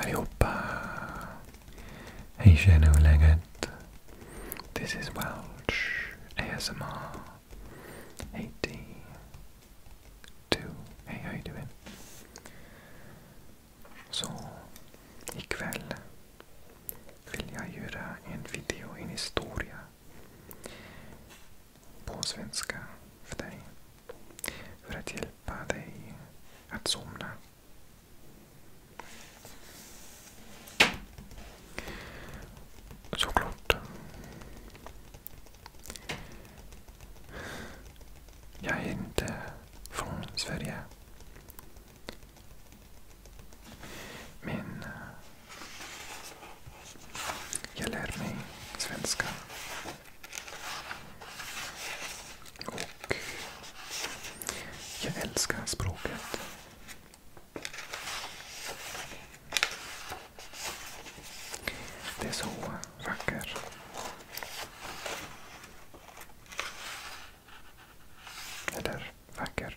Allihopa! Hej tjena, hur läget? This is Welsh ASMR 82. Hej, hej du! doing? Så, ikväll vill jag göra en video, en historia på svenska för dig. För att hjälpa dig att somna. Såklart. Jag är inte från Sverige. Men eh, jag lär mig svenska och jag älskar språket. Det är så vackert. Eller vackert.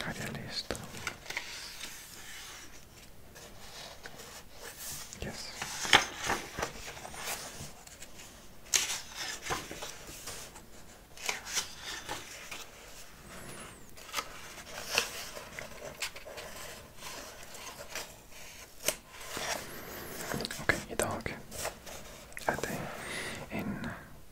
Hade jag listan? Yes. Okej, okay, idag är det en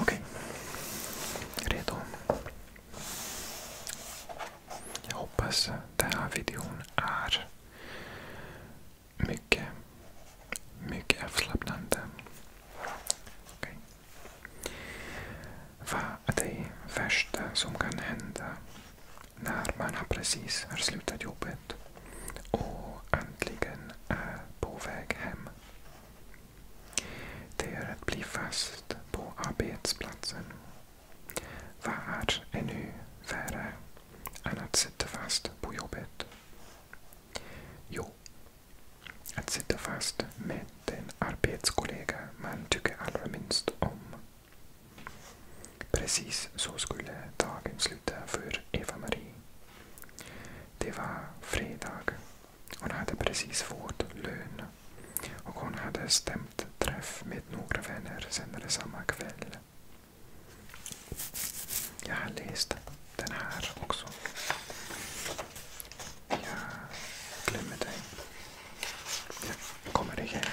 Okej. Redo. Jag hoppas den här videon är mycket, mycket avslappnande. Okay. Vad är det värsta som kan hända när man har precis har slutat jobbet och äntligen är på väg hem? Det är att bli fast på arbetsplatsen. Vad är ännu värre än att sitta fast på jobbet? Jo, att sitta fast med den arbetskollega man tycker allra minst om. Precis så skulle dagen sluta för Eva-Marie. Det var fredag hon hade precis fått lön och hon hade stämt träff med några vänner senare samma kväll. Jag har läst den här också. Jag glömmer dig. Jag kommer ihåg.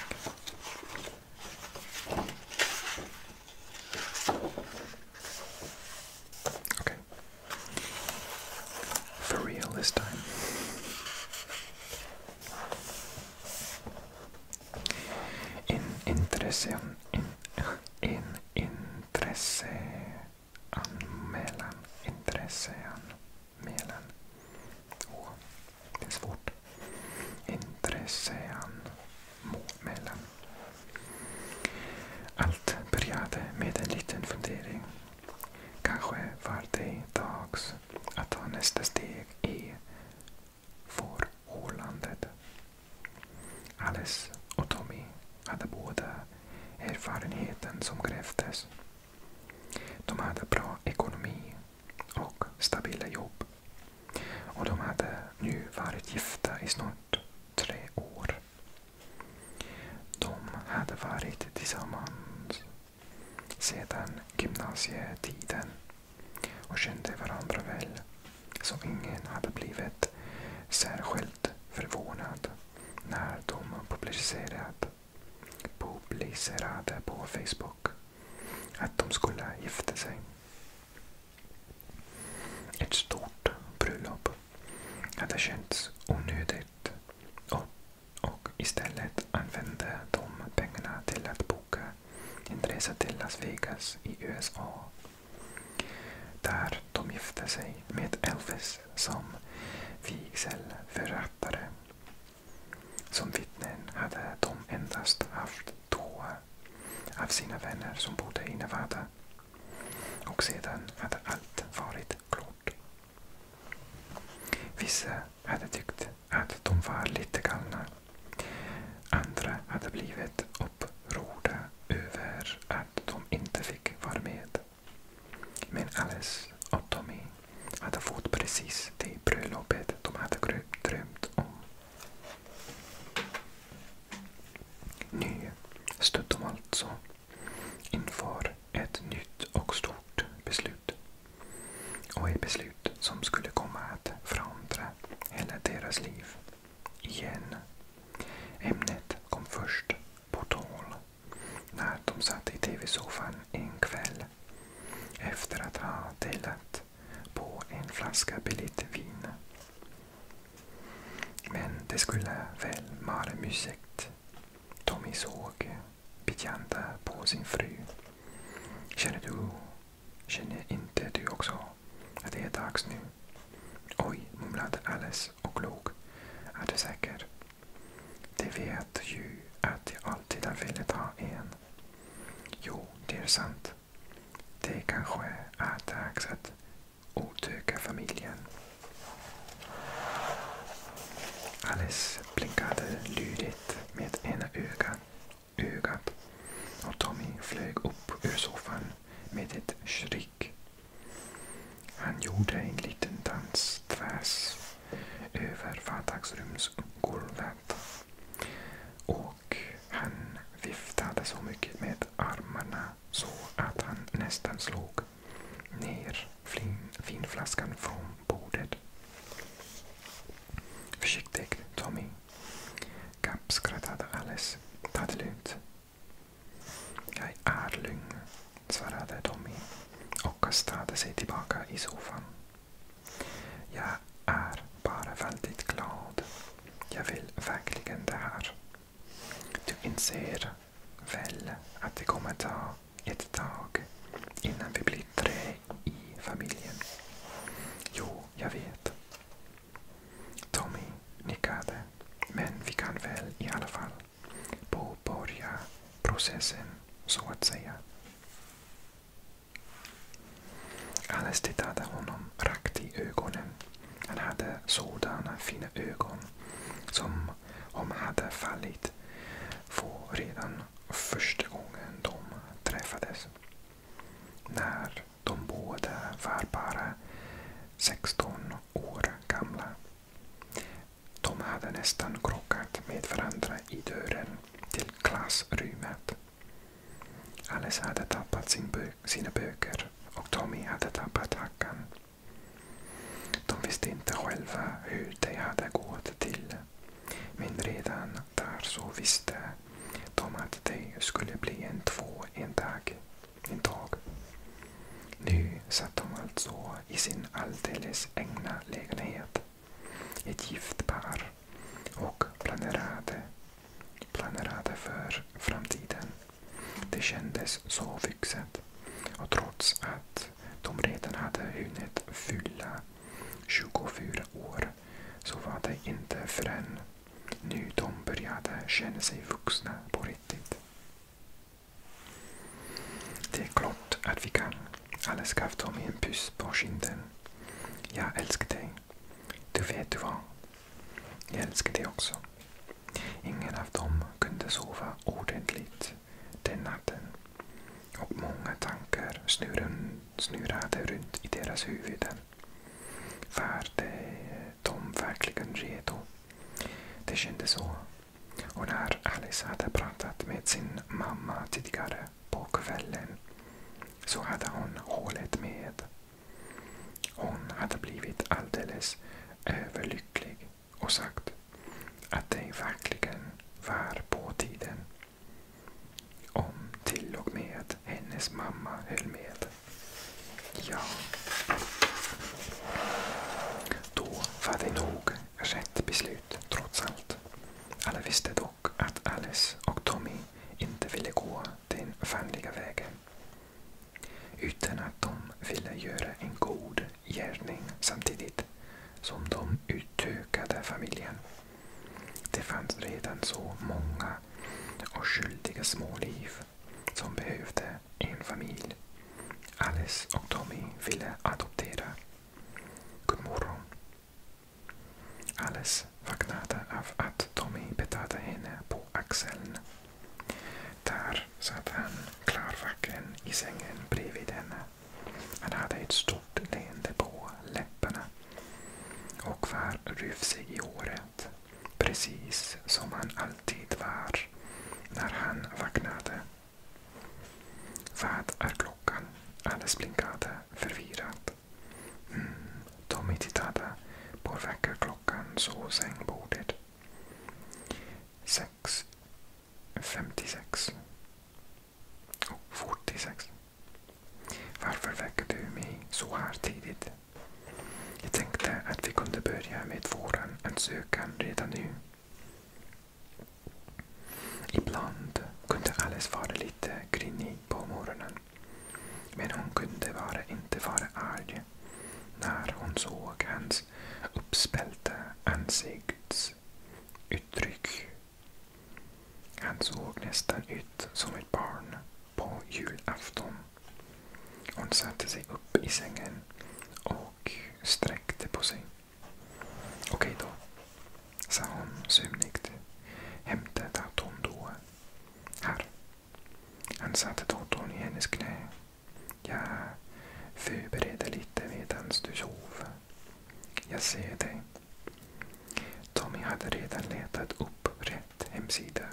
For real this time. En intresse... En, en intresseanmälan. Intresseanmälan. Åh, oh, det är svårt. Intresseanmälan. Allt började med en liten fundering. Kanske var det dags att ta nästa steg i förhållandet. Alice och Tommy hade båda erfarenheten som krävdes. De hade bra ekonomi och stabila jobb. Och de hade nu varit gifta i snart tre år. De hade varit tillsammans sedan gymnasietiden och kände varandra väl, så ingen hade blivit särskilt förvånad när de publicerat, publicerade på Facebook att de skulle gifta sig. Ett stort bröllop hade känts onödigt och, och istället använde de pengarna till att boka en resa till Las Vegas i USA. Där de gifte sig med Elvis som vigselförrättare. Som vittnen hade de endast haft två av sina vänner som bodde i Nevada och sedan hade allt varit klart. Vissa hade tyckt att de var lite galna. Andra hade blivit upprörda över att de inte fick vara med. Men Alice och Tommy hade fått precis det bröllopet de hade drömt om. Nu stod de alltså inför ett nytt och stort beslut. Och ett beslut som skulle komma att förändra hela deras liv. Igen. Ämnet kom först på tal när de satt i tv-soffan en kväll efter att ha delat på en flaska billigt vin. Men det skulle väl vara mysigt. Tommy såg Bianca på sin fru. Känner du, känner inte du också att det är dags nu? Oj, mumlade Alice och log. Är du säker? Det vet ju att jag alltid har velat ha en. Jo, det är sant. Det kanske är dags att utöka familjen. Alice blinkade lydigt med ena ögat, ögat och Tommy flög upp ur soffan med ett skrik. Han gjorde en liten dans tvärs över vardagsrumsgolvet och han viftade så mycket med armarna så att han nästan slog ner vinflaskan från bordet. Försiktigt, Tommy. Gapp skrattade alldeles. Ta det lugnt. Jag är lugn, svarade Tommy och kastade sig tillbaka i soffan. Jag är bara väldigt glad jag vill verkligen det här. Du inser väl att det kommer ta ett tag innan vi blir tre i familjen? Jo, jag vet. Tommy nickade. Men vi kan väl i alla fall påbörja processen, så att säga. Alice tittade honom rakt i ögonen. Han hade sådana fina ögon som om hade fallit få redan första gången de träffades. När de båda var bara 16 år gamla. De hade nästan krockat med varandra i dörren till klassrummet. Alice hade tappat sin bö sina böcker och Tommy hade tappat hackan. De visste inte själva hur det hade gått till. Men redan där så visste de att det skulle bli en två en dag. En dag. Nu satt de alltså i sin alldeles egna lägenhet. Ett gift par och planerade, planerade för framtiden. Det kändes så vuxet. Och trots att de redan hade hunnit fylla 24 år så var det inte förrän nu de började känna sig vuxna på riktigt. Det är klart att vi kan. alla gav dem en puss på kinden. Jag älskar dig. Du vet du vad? Jag älskar det också. Ingen av dem kunde sova ordentligt den natten och många tankar snurrade runt i deras huvuden. Var de verkligen redo? Det kändes så. Och när Alice hade pratat med sin mamma tidigare på kvällen så hade hon hållit med hon hade blivit alldeles överlycklig och sagt att det verkligen var på tiden. Om till och med hennes mamma höll med. Ja. Då var det nog rätt beslut trots allt. Alla visste dock att Alice och Tommy inte ville gå den fanliga vägen. Utan att de ville göra en god gärning samtidigt som de utökade familjen. Det fanns redan så många och skyldiga små liv som behövde en familj. Alice och Tommy ville adoptera. God morgon, Alice vaknade av att Tommy petade henne på axeln. Där satt han klarvaken i sängen bredvid henne. Han hade ett stort leende på läpparna och var rufsig i håret. Precis som han alltid var när han vaknade. Vad är klockan? Alice blinkade förvirrat. Mm. Tommy tittade på väckarklockan så sängbordet. 6.56. Oh, 46. Varför väcker du mig så här tidigt? Jag tänkte att vi kunde börja med våran ansökan redan nu. Ibland kunde Alice vara lite grinig på morgonen. Men hon kunde vara, inte vara arg när hon såg hans uppspelta ansiktsuttryck. Han såg nästan ut som ett barn på julafton. Hon satte sig upp i sängen och sträckte på sig. Okej då sa hon sömnigt. Hämta datorn då. Här. Han satte datorn i hennes knä. Jag förbereder lite medan du sov. Jag ser dig. Tommy hade redan letat upp rätt hemsida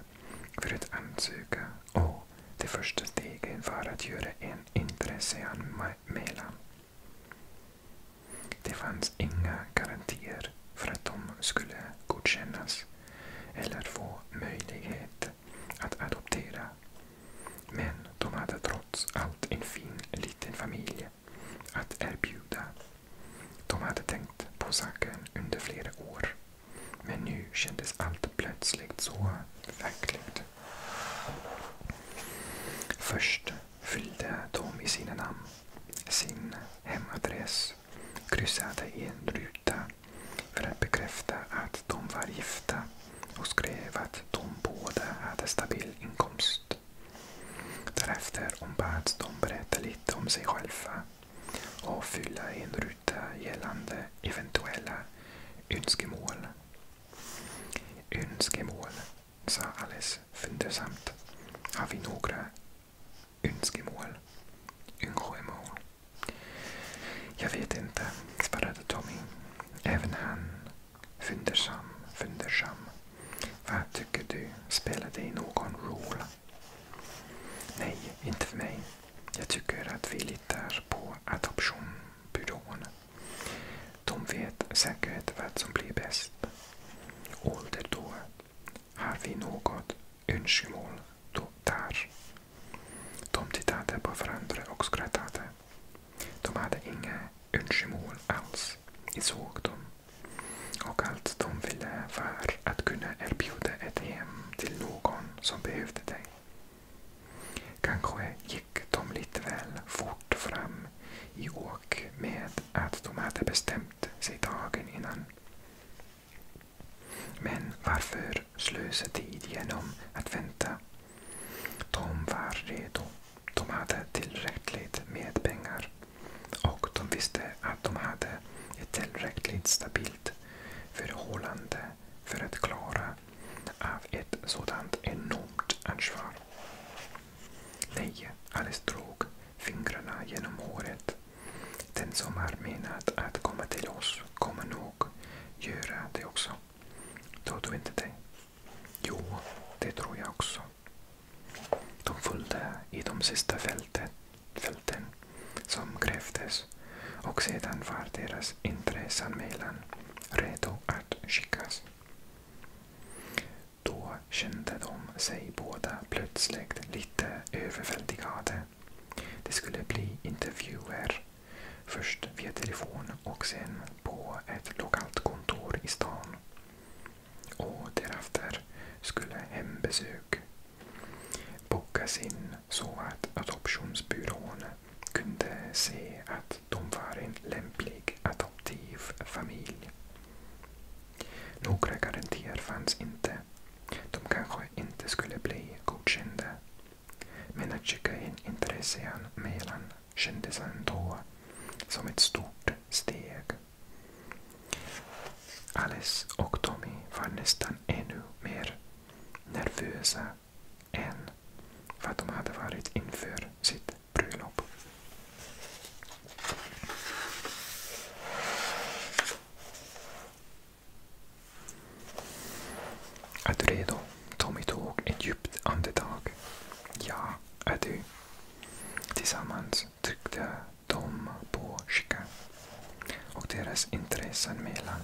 för att ansöka och det första steget var att göra en intresseanmälan. Det fanns inga garantier för att de skulle godkännas eller få möjlighet att adoptera. Men de hade trots allt en fin liten familj att erbjuda. De hade tänkt på saken under flera år. Men nu kändes allt plötsligt så verkligt. Först fyllde de i sina namn, sin hemadress, kryssade i en ruta för att bekräfta att de var gifta och skrev att de båda hade stabil inkomst. Därefter ombads de berätta lite om sig själva och fylla i en ruta gällande eventuella önskemål. Önskemål sa Alice fundersamt. Har vi några önskemål? Önskemål? Jag vet inte, svarade Tommy. Även han fundersam, fundersam. Vad tycker du? Spelar det någon roll? Nej, inte för mig. Jag tycker att vi litar på adoptionbyrån. De vet säkert vad som blir bäst då? har vi något önskemål då där. De tittade på varandra och skrattade. De hade inga önskemål alls, såg de. Och allt de ville var att kunna erbjuda ett hem till någon som behövde det. Kanske gick de lite väl fort fram i år och med att de hade bestämt sig dagen innan. Men varför slösa tid genom att vänta? De var redo. De hade tillräckligt med pengar och de visste att de hade ett tillräckligt stabilt förhållande för att klara av ett sådant enormt ansvar. Nej, Alice drog fingrarna genom håret. Den som har menat att komma till oss kommer nog göra det också. Tror du inte det? Jo, det tror jag också. De följde i de sista fälten, fälten som krävdes och sedan var deras intresseanmälan redo att skickas. Då kände de sig båda plötsligt lite överväldigade. Det skulle bli intervjuer. Först via telefon och sen på ett lokalt kontor i stan. Och därefter skulle hembesök bokas in så att adoptionsbyrån kunde se att de var en lämplig adoptivfamilj. Några garantier fanns inte. De kanske inte skulle bli godkända. Men att skicka in intresseanmälan kändes ändå som ett stort steg. Alice och Tommy var nästan ännu mer nervösa än vad de hade varit inför sitt bröllop. Är du redo? Tommy tog ett djupt andetag. Ja, är du. Tillsammans tryckte de på skickan och deras intressen intresseanmälan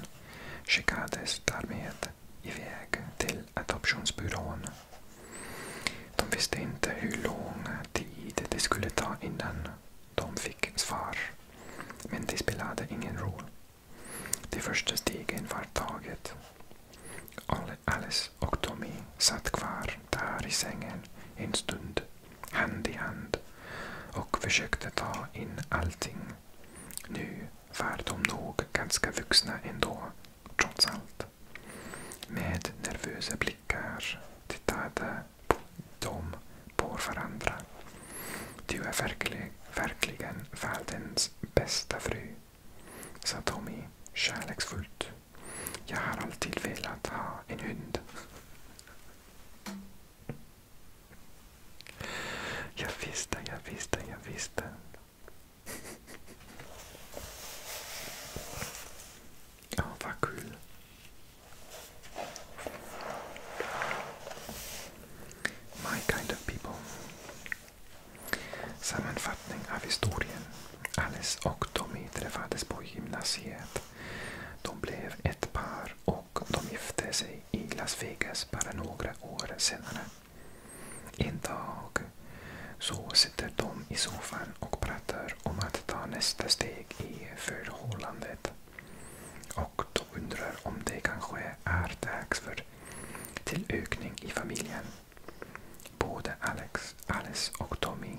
skickades därmed iväg till adoptionsbyrån de visste inte hur lång tid det skulle ta innan de fick svar. Men det spelade ingen roll. De första stegen var taget. Alice och Tommy satt kvar där i sängen en stund, hand i hand och försökte ta in allting. Nu var de nog ganska vuxna ändå, trots allt. Med nervösa blickar tittade de på varandra. Du är verklig, verkligen världens bästa fru, sa Tommy kärleksfullt. Jag har alltid velat ha en hund. Jag visste, jag visste, jag visste. Ja, vad kul. My kind of people. Sammanfattning av historien. Alice och Tommy träffades på gymnasiet. De blev ett par och de gifte sig i Las bara några år senare. Idag så sitter de i soffan och pratar om att ta nästa steg i förhållandet. Och de undrar om det kanske är dags för tillökning i familjen. Både Alex, Alice och Tommy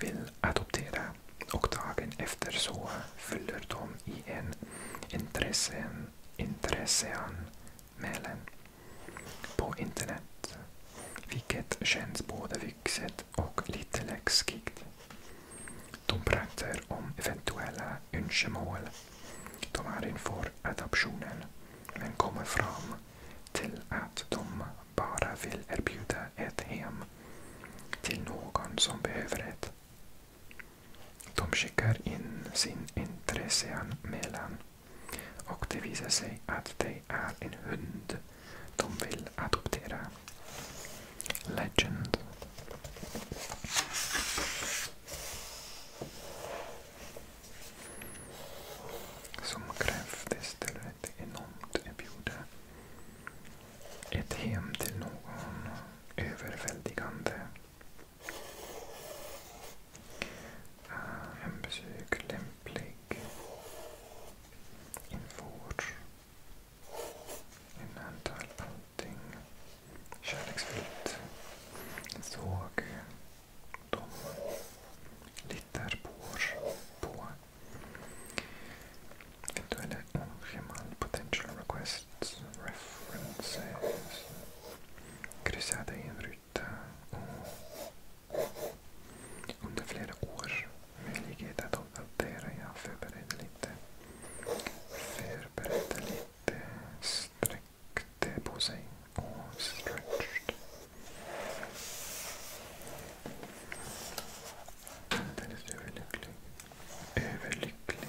vill adoptera och dagen efter så fyller de i en intressen, intressean mälen på internet. Vilket känns både vuxet och lite läskigt. De pratar om eventuella önskemål de har inför adoptionen men kommer fram till att de bara vill erbjuda ett hem till någon som behöver det. De skickar in sin intresseanmälan och det visar sig att det är en hund de vill adoptera. Legend. Som krävdes till enormt erbjude. Ett hem till någon överväldigande Eh, hembesök lämplig. Inför. Innantal allting. Kärleksfullt. Såg de litar på, på eventuella önskemål, potential requests, references. Kryssade in ute och under flera år möjlighet att uppdatera. Jag förberedde lite. Förberedde lite. Sträckte på sig och stretched. Alldeles överlycklig. Överlycklig.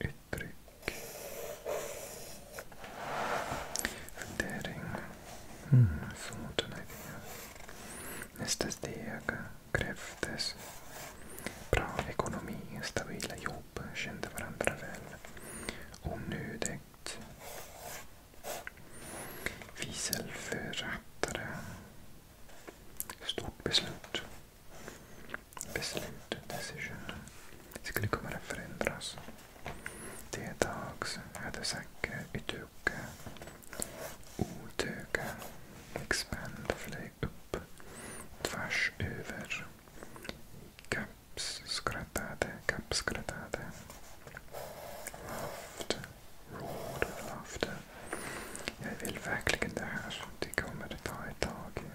uttryck. Fundering. Mm, Suutuna idéer. Nästa steg krävdes. Bra ekonomi, stabila jobb, kände varandra väl. Onödigt. Visselförrättare. Stort beslut beslutet, decision, skulle komma att förändras. Det är dags hade Zacke utöka, utöka, expand flög upp, tvärs över. Kaps skrattade, kaps skrattade. Laughed, Jag vill verkligen det här. Det kommer att ta ett tag.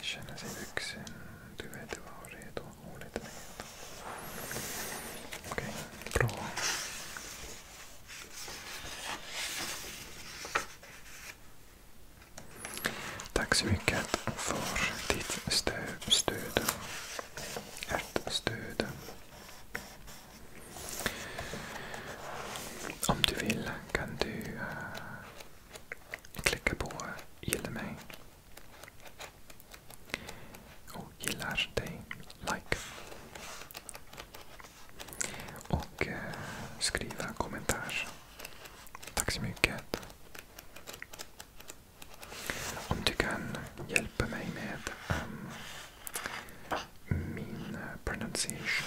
Känner sig vuxen. Du vet du var redo och lite mer. Okej, bra. Tack så mycket för ditt stöd. Ert stöd. Om du vill kan du eh, klicka på gilla mig. Och gillar dig, like. Och eh, skriva kommentar. Tack så mycket. Om du kan hjälpa mig med um, min eh, pronunciation.